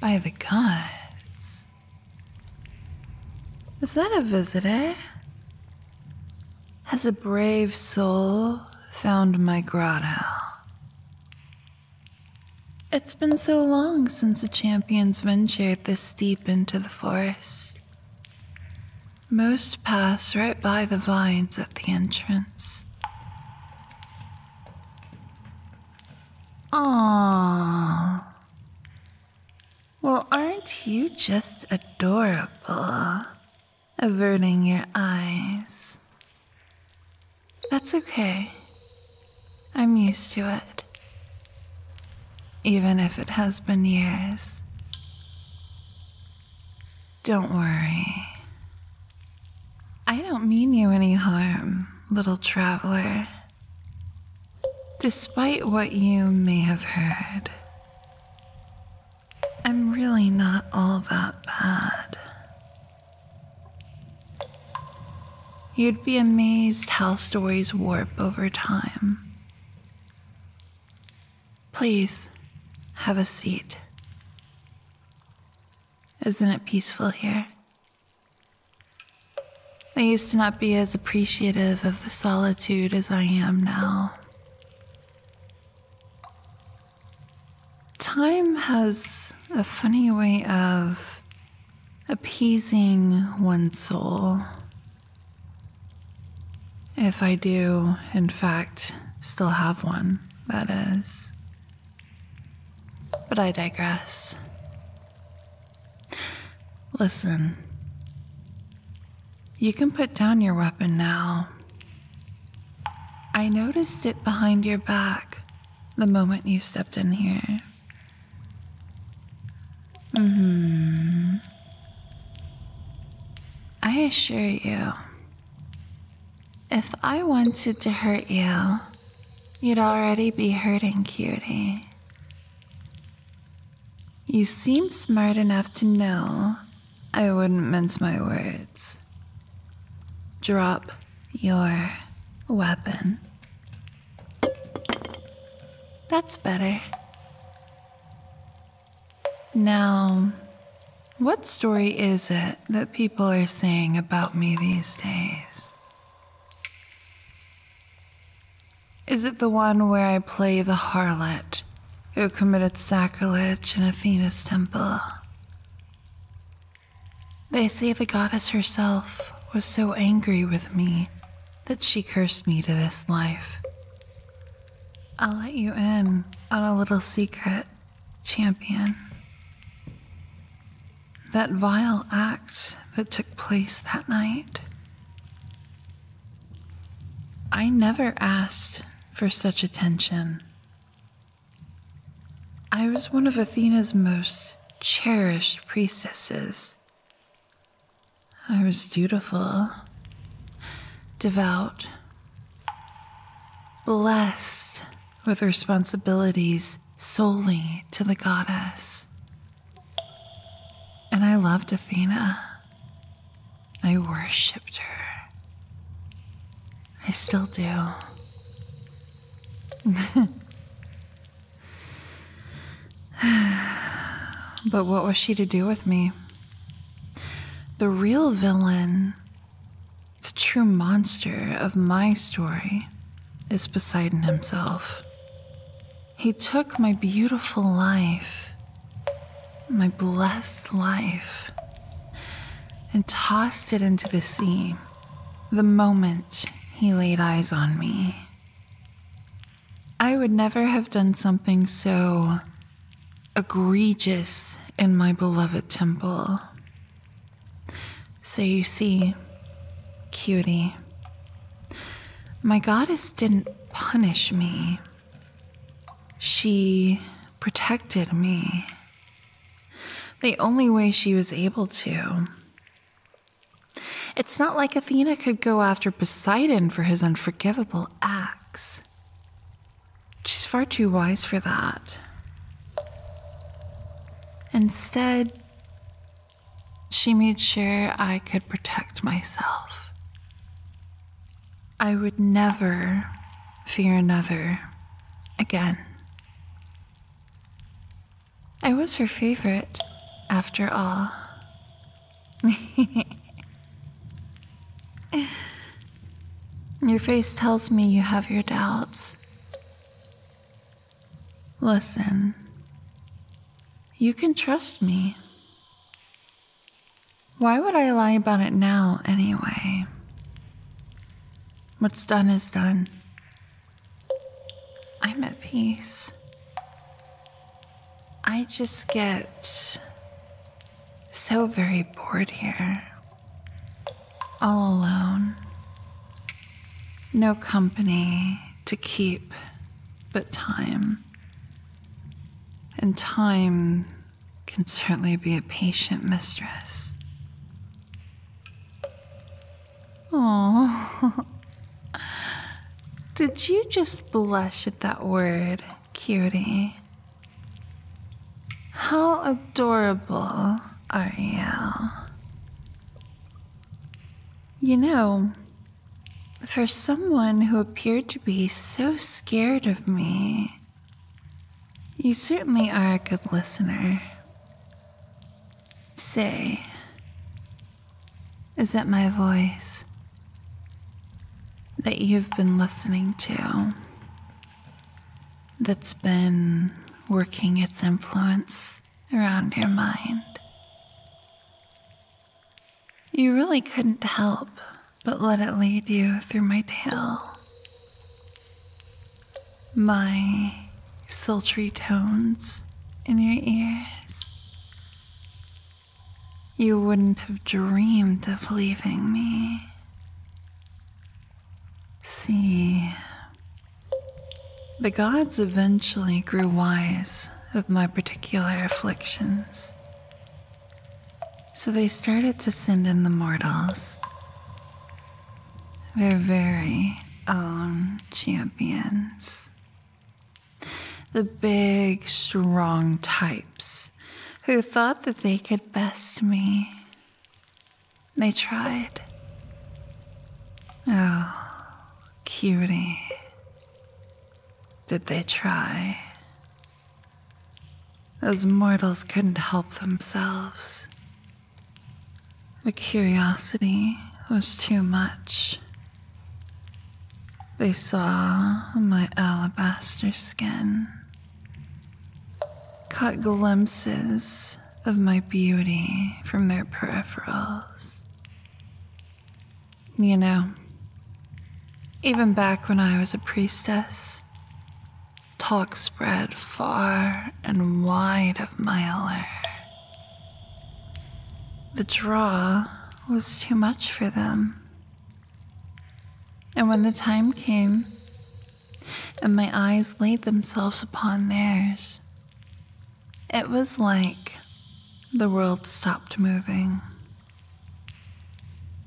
By the gods. Is that a visitor? Has a brave soul found my grotto? It's been so long since the champions ventured this deep into the forest. Most pass right by the vines at the entrance. Aww. Well, aren't you just adorable? Averting your eyes. That's okay. I'm used to it. Even if it has been years. Don't worry. I don't mean you any harm, little traveler. Despite what you may have heard, I'm really not all that bad. You'd be amazed how stories warp over time. Please, have a seat. Isn't it peaceful here? I used to not be as appreciative of the solitude as I am now. Time has a funny way of appeasing one soul. If I do, in fact, still have one, that is. But I digress. Listen, you can put down your weapon now. I noticed it behind your back the moment you stepped in here hmm I assure you, if I wanted to hurt you, you'd already be hurting, cutie. You seem smart enough to know I wouldn't mince my words. Drop your weapon. That's better. Now, what story is it that people are saying about me these days? Is it the one where I play the harlot who committed sacrilege in Athena's temple? They say the goddess herself was so angry with me that she cursed me to this life. I'll let you in on a little secret, champion. That vile act that took place that night. I never asked for such attention. I was one of Athena's most cherished priestesses. I was dutiful, devout, blessed with responsibilities solely to the goddess. And I loved Athena. I worshipped her. I still do. but what was she to do with me? The real villain, the true monster of my story, is Poseidon himself. He took my beautiful life, my blessed life, and tossed it into the sea the moment he laid eyes on me. I would never have done something so egregious in my beloved temple. So you see, cutie, my goddess didn't punish me, she protected me. The only way she was able to. It's not like Athena could go after Poseidon for his unforgivable acts. She's far too wise for that. Instead, she made sure I could protect myself. I would never fear another again. I was her favorite, after all. your face tells me you have your doubts. Listen, you can trust me. Why would I lie about it now, anyway? What's done is done. I'm at peace. I just get so very bored here. All alone. No company to keep but time. And time can certainly be a patient mistress. Oh. Did you just blush at that word, cutie? How adorable are you? You know, for someone who appeared to be so scared of me, you certainly are a good listener. Say, is it my voice that you've been listening to that's been working its influence around your mind? You really couldn't help but let it lead you through my tale my sultry tones in your ears. You wouldn't have dreamed of leaving me. See, the gods eventually grew wise of my particular afflictions. So they started to send in the mortals their very own um, champions. The big, strong types who thought that they could best me. They tried. Oh, cutie. Did they try? Those mortals couldn't help themselves. The curiosity was too much. They saw my alabaster skin, caught glimpses of my beauty from their peripherals. You know, even back when I was a priestess, Talk spread far and wide of my allure. The draw was too much for them. And when the time came, and my eyes laid themselves upon theirs, it was like the world stopped moving.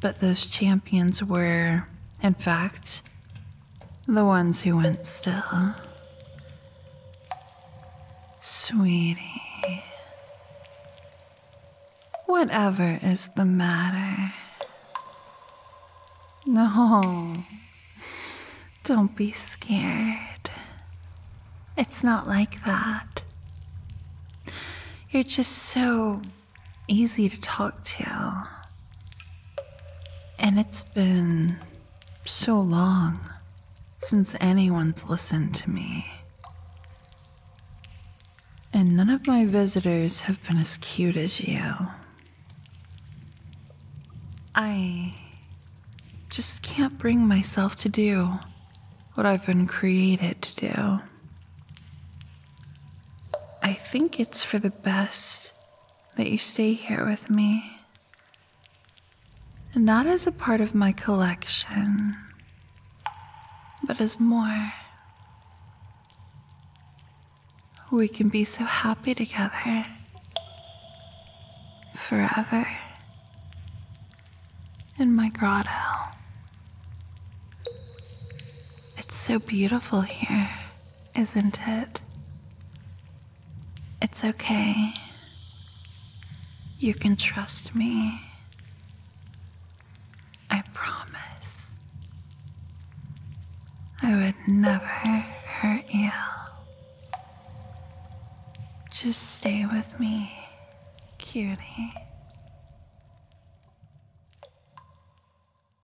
But those champions were, in fact, the ones who went still. Sweetie. Whatever is the matter? No. Don't be scared. It's not like that. You're just so easy to talk to. And it's been so long since anyone's listened to me. And none of my visitors have been as cute as you. I just can't bring myself to do what I've been created to do. I think it's for the best that you stay here with me. and Not as a part of my collection, but as more. We can be so happy together. Forever. In my grotto. It's so beautiful here isn't it? It's okay. You can trust me. I promise. I would never hurt you. Just stay with me, cutie.